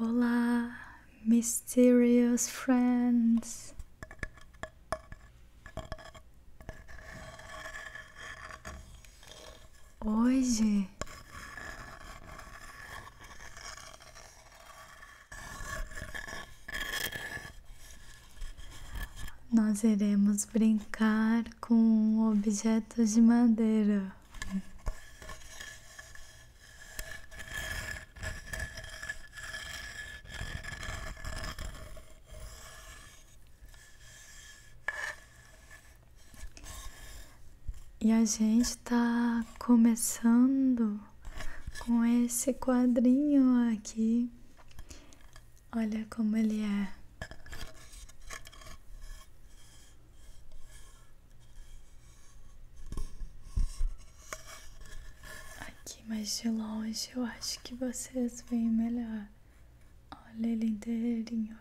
Olá, mysterious friends. Hoje nós iremos brincar com objetos de madeira. E a gente está começando com esse quadrinho aqui. Olha como ele é. Aqui mais de longe eu acho que vocês veem melhor. Olha ele inteirinho.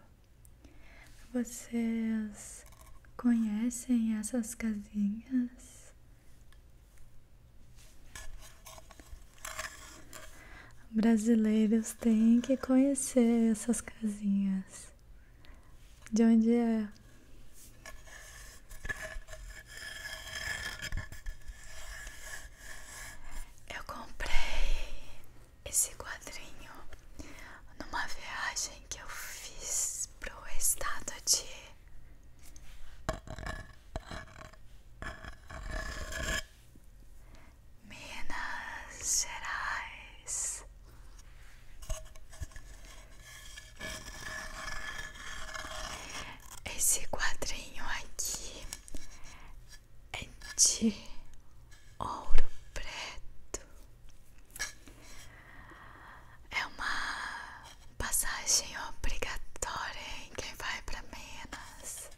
Vocês conhecem essas casinhas? Brasileiros têm que conhecer essas casinhas. Deus, de onde é? Eu comprei esse quadrinho numa viagem que eu fiz pro estado de Minas Gerais. Esse quadrinho aqui é de ouro preto. É uma passagem obrigatória em quem vai para Minas.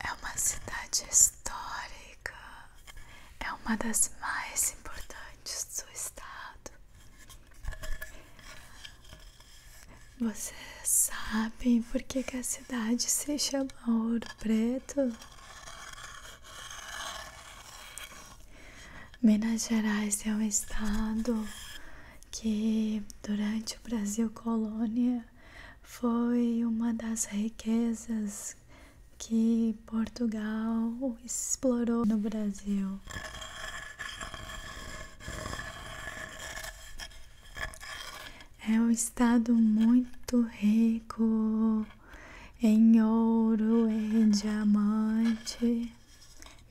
É uma cidade histórica é uma das mais importantes do estado. Você sabe por que a cidade se chama Ouro Preto? Minas Gerais é um estado que, durante o Brasil colônia, foi uma das riquezas que Portugal explorou no Brasil. É um estado muito rico em ouro, e diamante,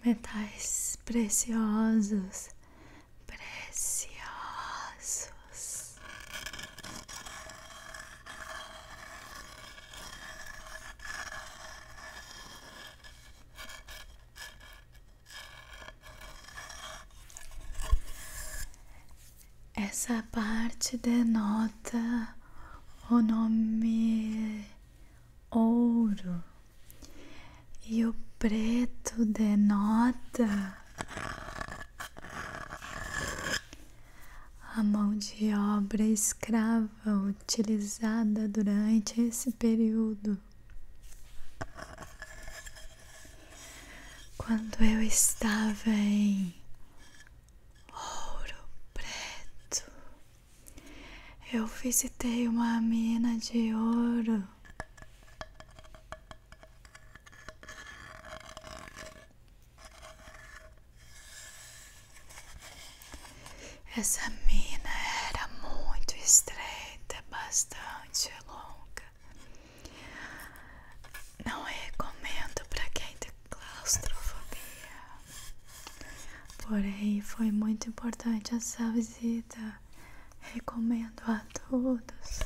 metais preciosos, preciosos. Essa parte denota o nome ouro e o preto denota a mão de obra escrava utilizada durante esse período. Quando eu estava em Ouro Preto, eu visitei uma mina de ouro essa mina era muito estreita, bastante longa. Não recomendo para quem tem claustrofobia. Porém, foi muito importante essa visita. Recomendo a todos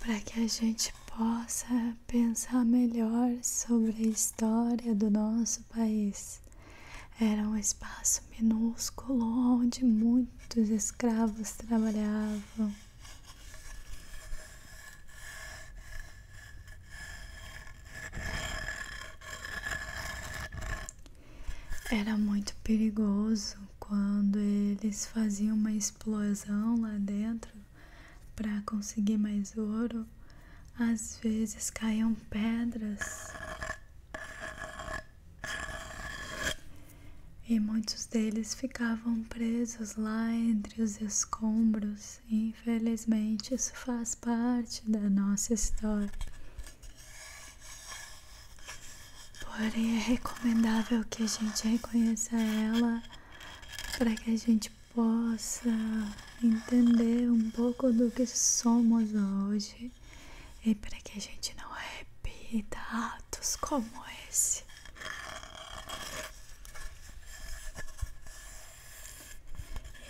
para que a gente possa pensar melhor sobre a história do nosso país. Era um espaço minúsculo onde muitos escravos trabalhavam. Era muito perigoso quando eles faziam uma explosão lá dentro para conseguir mais ouro, às vezes caíam pedras. E muitos deles ficavam presos lá entre os escombros. Infelizmente, isso faz parte da nossa história. Porém, é recomendável que a gente reconheça ela para que a gente possa entender um pouco do que somos hoje e para que a gente não repita atos como esse.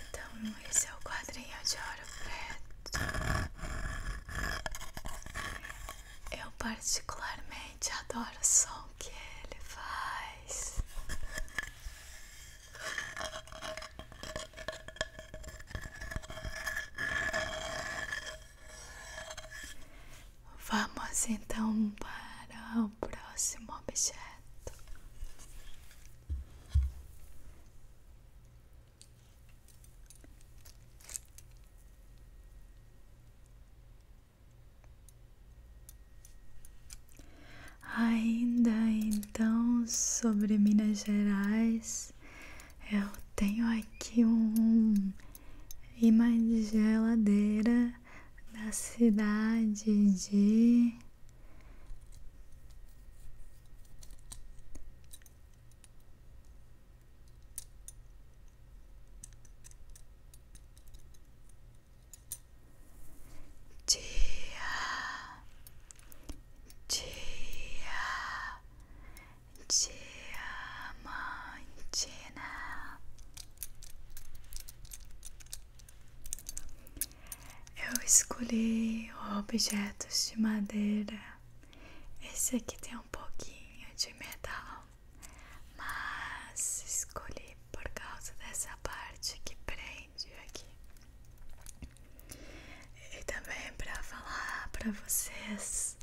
Então, esse é o quadrinho de ouro preto. Eu particularmente adoro som que ele faz. Vamos então para o próximo objeto. Ainda então sobre Minas Gerais, eu tenho aqui um imã de geladeira da cidade de Dia, dia, diamantina. Eu escolhi objetos de madeira. Esse aqui tem um pouquinho de metal mas escolhi por causa dessa parte que prende aqui e também para falar para vocês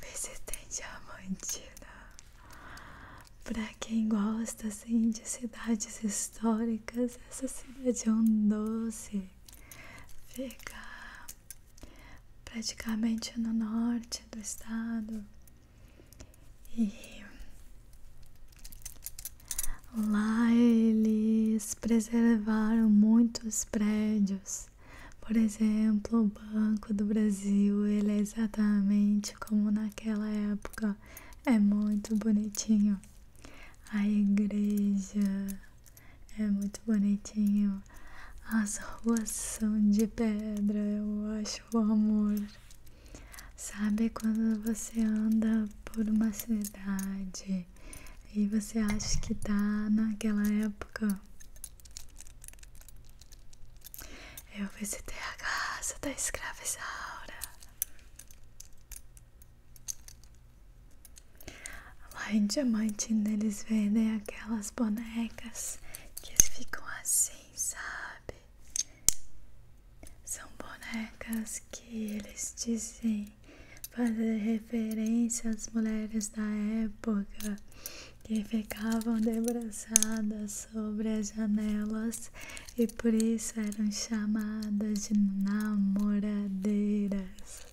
tem visitem Diamantina para quem gosta assim, de cidades históricas essa cidade é um doce fica praticamente no norte do estado. E lá eles preservaram muitos prédios. Por exemplo, o Banco do Brasil, ele é exatamente como naquela época. É muito bonitinho. A igreja é muito bonitinho. As ruas são de pedra, eu acho o amor. Sabe quando você anda por uma cidade e você acha que tá naquela época? Eu visitei a casa da escravizaura. Lá em Diamante eles vendem aquelas bonecas que eles ficam assim, sabe? São bonecas que eles dizem fazer referência às mulheres da época que ficavam debruçadas sobre as janelas e por isso eram chamadas de namoradeiras.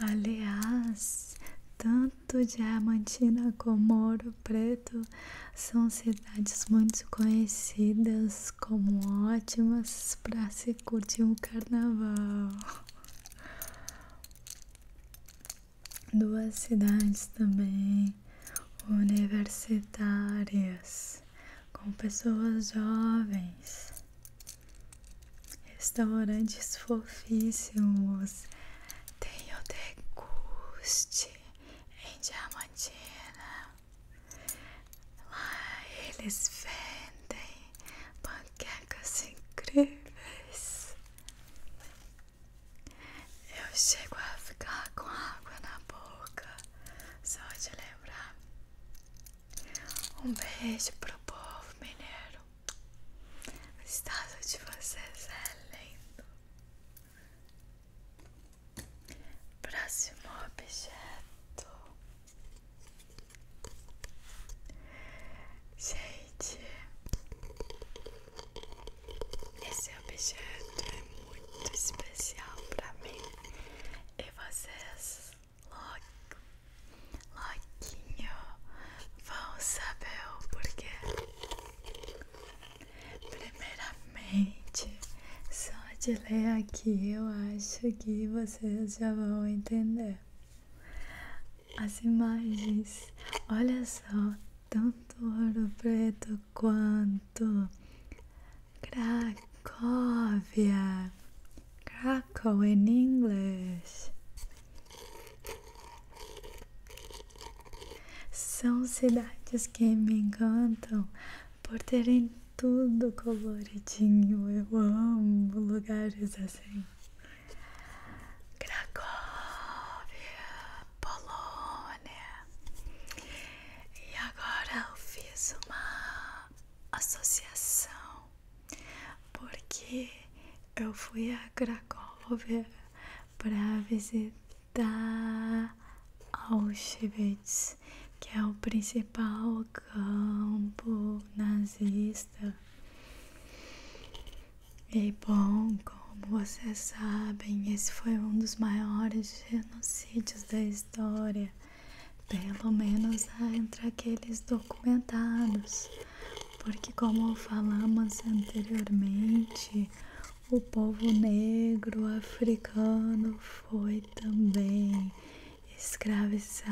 Aliás, tanto tanto Diamantina como Ouro Preto são cidades muito conhecidas como ótimas para se curtir um carnaval. Duas cidades também universitárias com pessoas jovens Restaurantes fofíssimos. Tem o deguste em Diamantina. Lá eles vendem panquecas incríveis. Eu chego a ficar com água na boca só de lembrar. Um beijo pro povo mineiro. O estado de vocês é lindo. Próximo objeto. Gente, esse objeto é muito especial para mim e vocês logo Loquinho, vão saber o porquê. Primeiramente, só de ler aqui eu acho que vocês já vão entender. As imagens, olha só, tanto ouro preto quanto cracovia. Crackle em inglês São cidades que me encantam por terem tudo coloridinho. Eu amo lugares assim. Cracóvia, Polônia. E agora eu fiz uma associação porque eu fui a Cracóvia para visitar Auschwitz, que é o principal campo nazista. E bom, como vocês sabem, esse foi um dos maiores genocídios da história, pelo menos entre aqueles documentados porque, como falamos anteriormente, o povo negro africano foi também escravizado.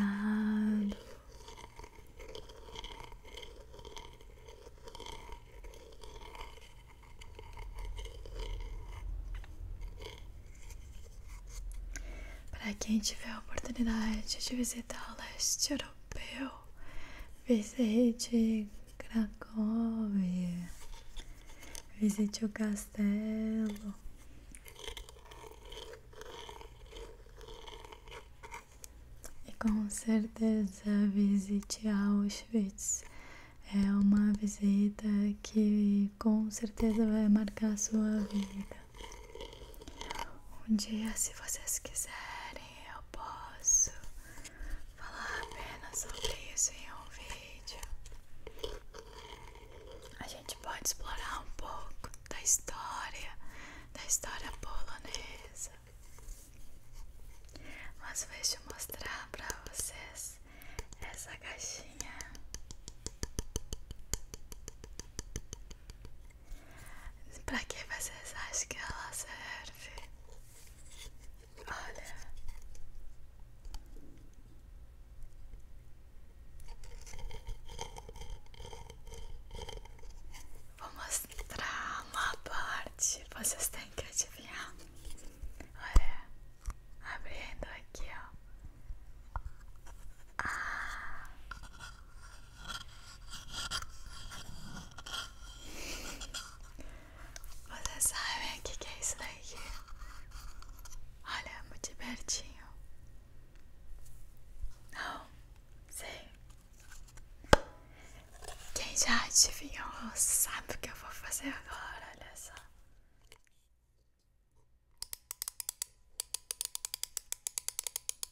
Para quem tiver a oportunidade de visitar o leste Europeu, visite Cracóvia, visite o castelo. E com certeza visite Auschwitz. É uma visita que com certeza vai marcar sua vida. Um dia, se vocês quiserem, eu posso falar apenas sobre isso em um vídeo. A gente pode explorar um pouco da história, da história polonesa. Mas vejo eu mostrar para vocês essa caixinha. Pra que vocês acham que ela serve? Olha. Vou mostrar uma parte. Vocês têm que adivinhar. Olha. Abrindo aqui, ó. Ah. Você sabe o que, que é isso daqui? Olha, é muito pertinho. Não, sei. Quem já adivinhou sabe o que eu vou fazer agora, olha só.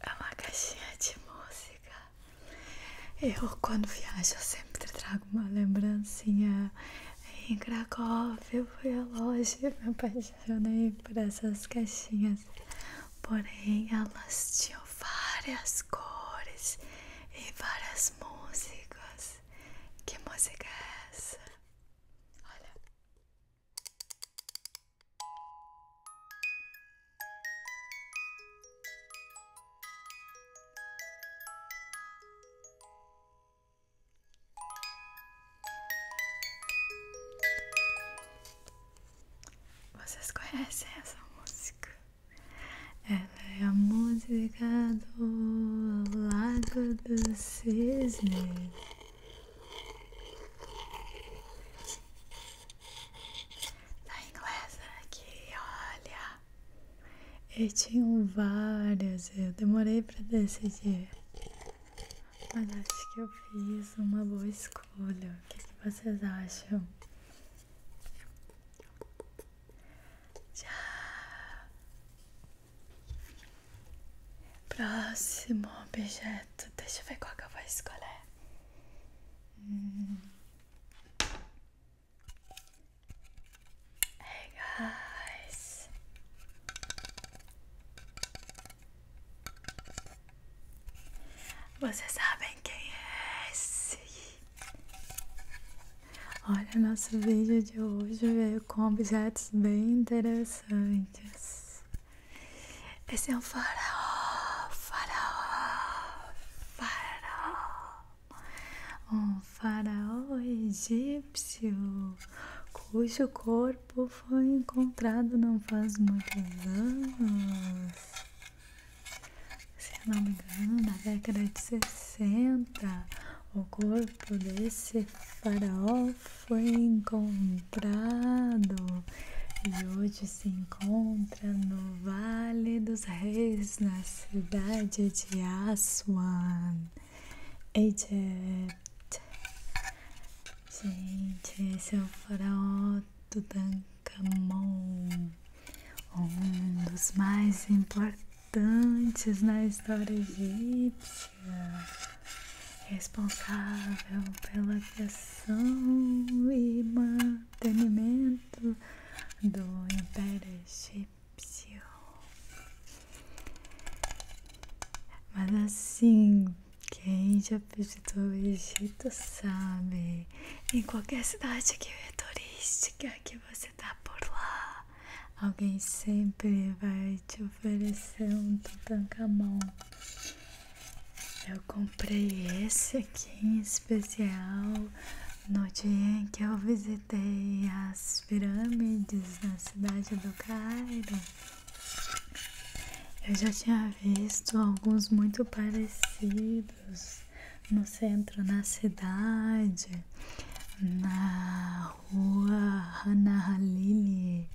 é uma caixinha de música. Eu, quando viajo, sempre trago uma lembrancinha. Em Cracóvia, eu fui a loja me apaixonei por essas caixinhas. Porém, elas tinham várias cores e várias músicas. Que música é essa? Olha. Vocês conhecem essa música? Ela é a música do Lago do Cisne. Na inglesa aqui, olha. Eu tinha várias, eu demorei para decidir. Mas acho que eu fiz uma boa escolha. O que, que vocês acham? Tchau! Próximo objeto. Deixa eu ver qual que eu vou escolher. Hum. Hey guys. Vocês sabem quem é Olha, nosso vídeo de hoje veio com objetos bem interessantes. Esse é um faraó, faraó, faraó. Um faraó egípcio cujo corpo foi encontrado não faz muitos anos. Se eu não me engano, na década de 60, o corpo desse faraó foi encontrado comprado e hoje se encontra no Vale dos Reis, na cidade de Aswan. Egypt. Gente, esse é o faraó Tutankamon, um dos mais importantes na história egípcia responsável pela criação e mantenimento do Império Egípcio. Mas assim, quem já visitou o Egito sabe, em qualquer cidade que é turística que você está por lá, alguém sempre vai te oferecer um Tutankamon. Eu comprei esse aqui em especial no dia em que eu visitei as pirâmides na cidade do Cairo. Eu já tinha visto alguns muito parecidos no centro, da cidade, na rua Hanahalili,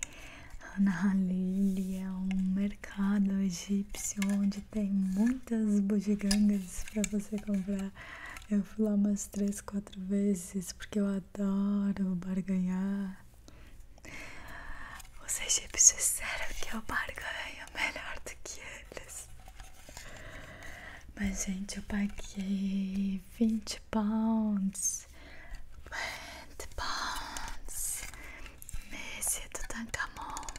a Nahalili é um mercado egípcio onde tem muitas bugigangas para você comprar. Eu fui lá umas três, quatro vezes porque eu adoro barganhar. Os egípcios disseram que eu barganho melhor do que eles. Mas, gente, eu paguei 20 pounds with bones, Messi Tutankamon.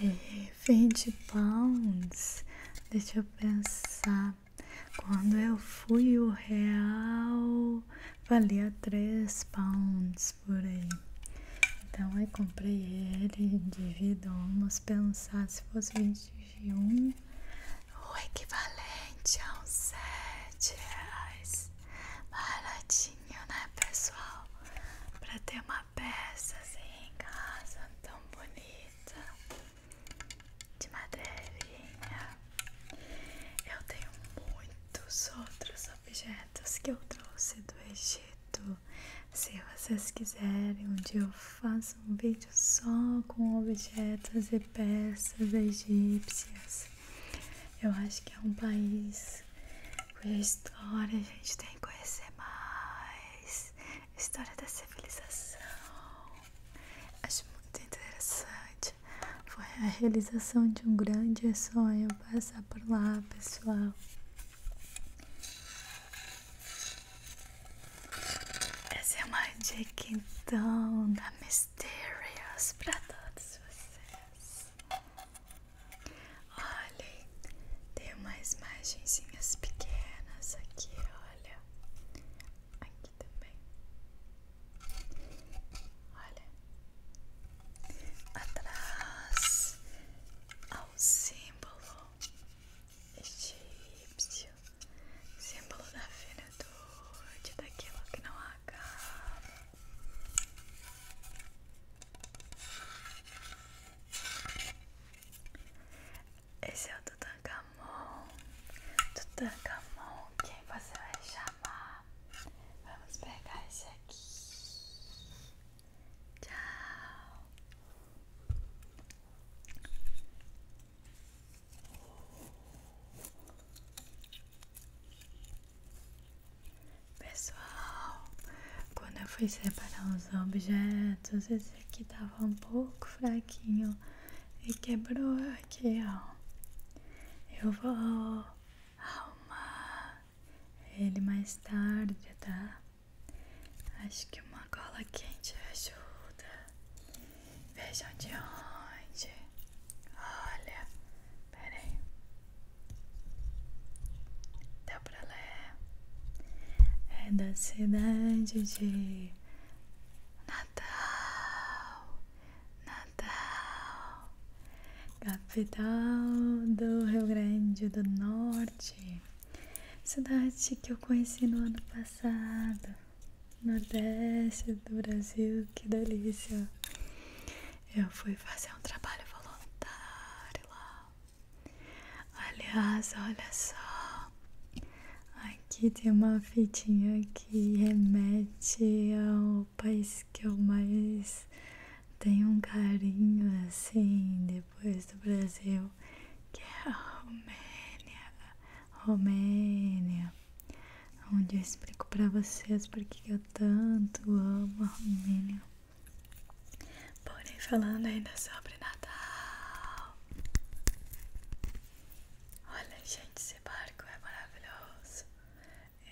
E 20 pounds, deixa eu pensar. Quando eu fui, o real valia 3 pounds por aí. Então aí comprei ele, divido, vamos pensar se fosse 21 o equivalente a uns sete reais. Baratinho, né, pessoal? para ter uma peça assim em casa tão bonita de madeirinha. Eu tenho muitos outros objetos que eu trouxe do Egito. Se vocês quiserem, um dia eu faço um vídeo só com objetos peças egípcias. Eu acho que é um país cuja história a gente tem que conhecer mais. História da civilização. Acho muito interessante. Foi a realização de um grande sonho passar por lá, pessoal. Essa é uma dica então da Miss Mysterious para todos vocês. Olhem, tem umas imagens pequenas aqui, olha. Aqui também. Olha. Atrás ao símbolo egípcio símbolo da do finitude, daquilo que não acaba. Esse é o Tutankamon. Tutankamon, quem você vai chamar? Vamos pegar esse aqui. Tchau. Pessoal, quando eu fui separar os objetos, esse aqui tava um pouco fraquinho e quebrou aqui, ó. Eu vou arrumar ele mais tarde, tá? Acho que uma cola quente ajuda. Vejam de onde. Olha. Pera aí. pra ler. É da cidade de Natal. Natal. Capital do Rio Grande do Norte. Cidade que eu conheci no ano passado. Nordeste do Brasil, que delícia! Eu fui fazer um trabalho voluntário lá. Aliás, olha só, aqui tem uma fitinha que remete ao país que eu mais tenho um carinho assim, depois do Brasil, que é a Romênia. Romênia, onde eu explico para vocês porque eu tanto amo a Romênia. Porém, falando ainda sobre Natal. Olha, gente, esse barco é maravilhoso.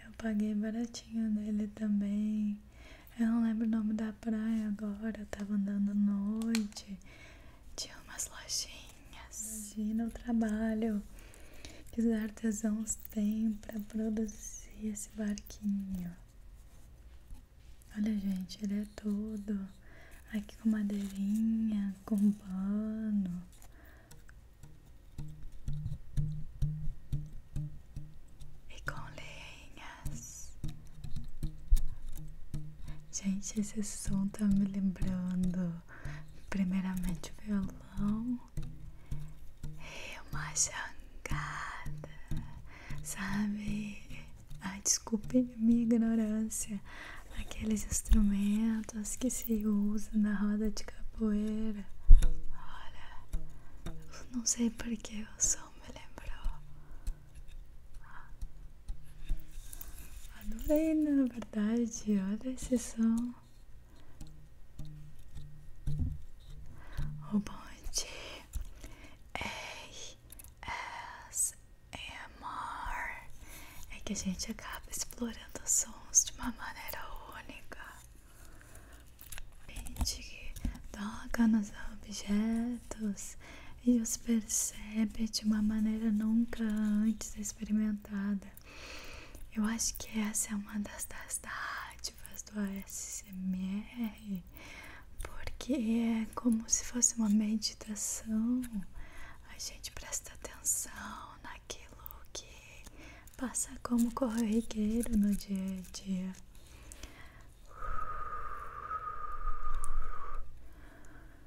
Eu paguei baratinho nele também. Eu não lembro o nome da praia agora, tava andando noite de umas lojinhas. e no trabalho que os artesãos têm para produzir esse barquinho. Olha, gente, ele é todo aqui com madeirinha, com pano. E com lenhas. Gente, esse som tá me lembrando Primeiramente o violão e é uma jangada, sabe? Ai, desculpe minha ignorância. Aqueles instrumentos que se usa na roda de capoeira. Olha, não sei porque o som me lembrou. Adorei, na verdade. Olha esse som. O bonde ASMR é que a gente acaba explorando sons de uma maneira única. A gente toca nos objetos e os percebe de uma maneira nunca antes experimentada. Eu acho que essa é uma das, das dádivas do ASMR, porque é como se fosse uma meditação. A gente presta atenção naquilo que passa como corrigueiro no dia a dia.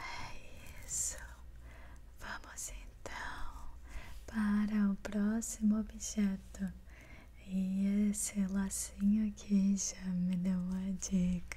É isso. Vamos então para o próximo objeto. E esse lacinho aqui já me deu uma dica.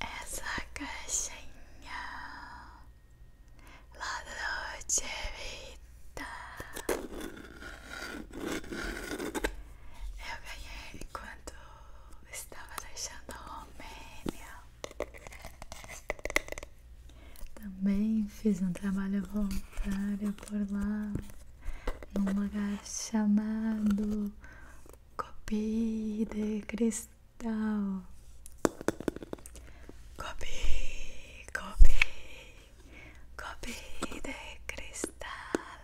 Essa caixinha lá do Vita eu ganhei quando estava deixando a Romênia. Também fiz um trabalho voluntário por lá, num lugar chamado Copy de cristal. Copy, copy, copy de cristal.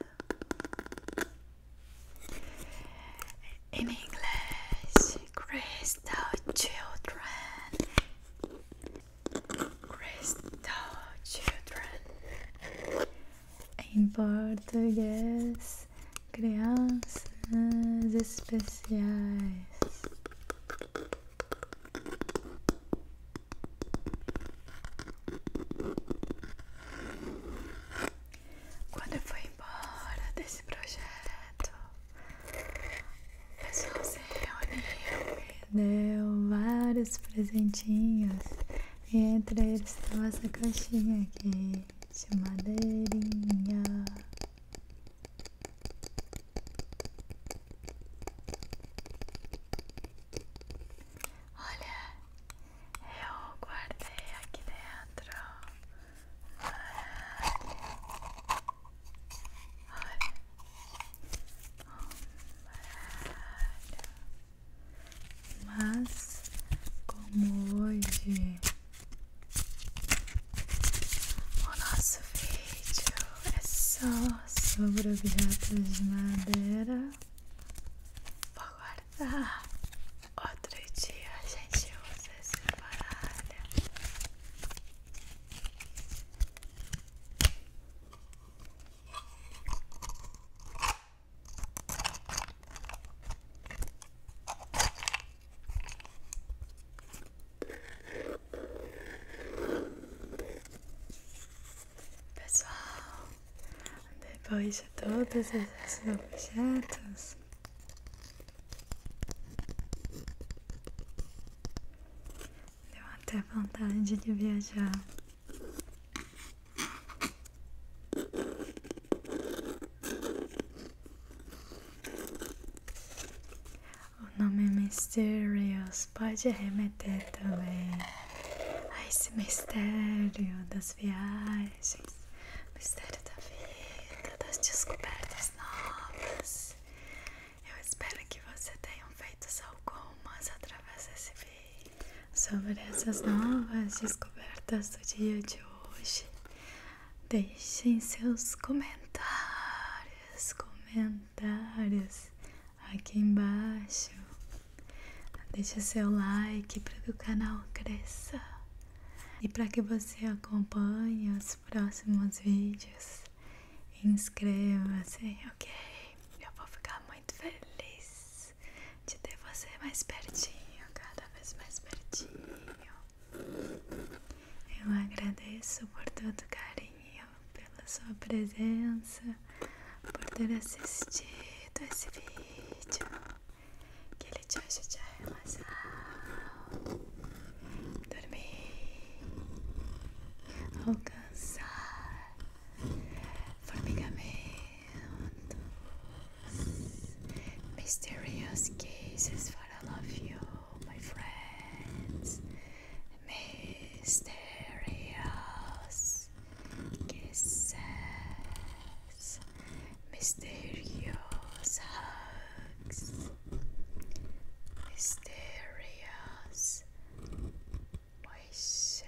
In English, crystal children. Crystal children. em português, crianças especiais. Quando eu fui embora desse projeto, o pessoal se reuniu, me deu vários presentinhos. E entre eles estava essa caixinha aqui seu madeirinha. Olha, eu guardei aqui dentro. Olha, mas como hoje o nosso vídeo é só sobre objetos de madeira, vou guardar. Outro dia a gente usa separada. Pessoal, depois de todos esses objetos, deu até vontade de viajar. O nome é Mysterious pode remeter também a esse mistério das viagens, mistério da vida, das descobertas novas. Eu espero que você tenha feito algumas através desse vídeo sobre essas novas descobertas do dia de hoje. Deixem seus comentários, comentários aqui embaixo. Deixe seu like para que o canal cresça e para que você acompanhe os próximos vídeos. Inscreva-se, ok? Eu vou ficar muito feliz de ter você mais pertinho, cada vez mais pertinho. Eu agradeço por todo carinho, pela sua presença, por ter assistido esse vídeo. Que ele te ajude a relaxar, dormir, alcançar formigamento. mysterious kisses for all of you, my friends. Mysterious kisses, mysterious hugs, mysterious voices.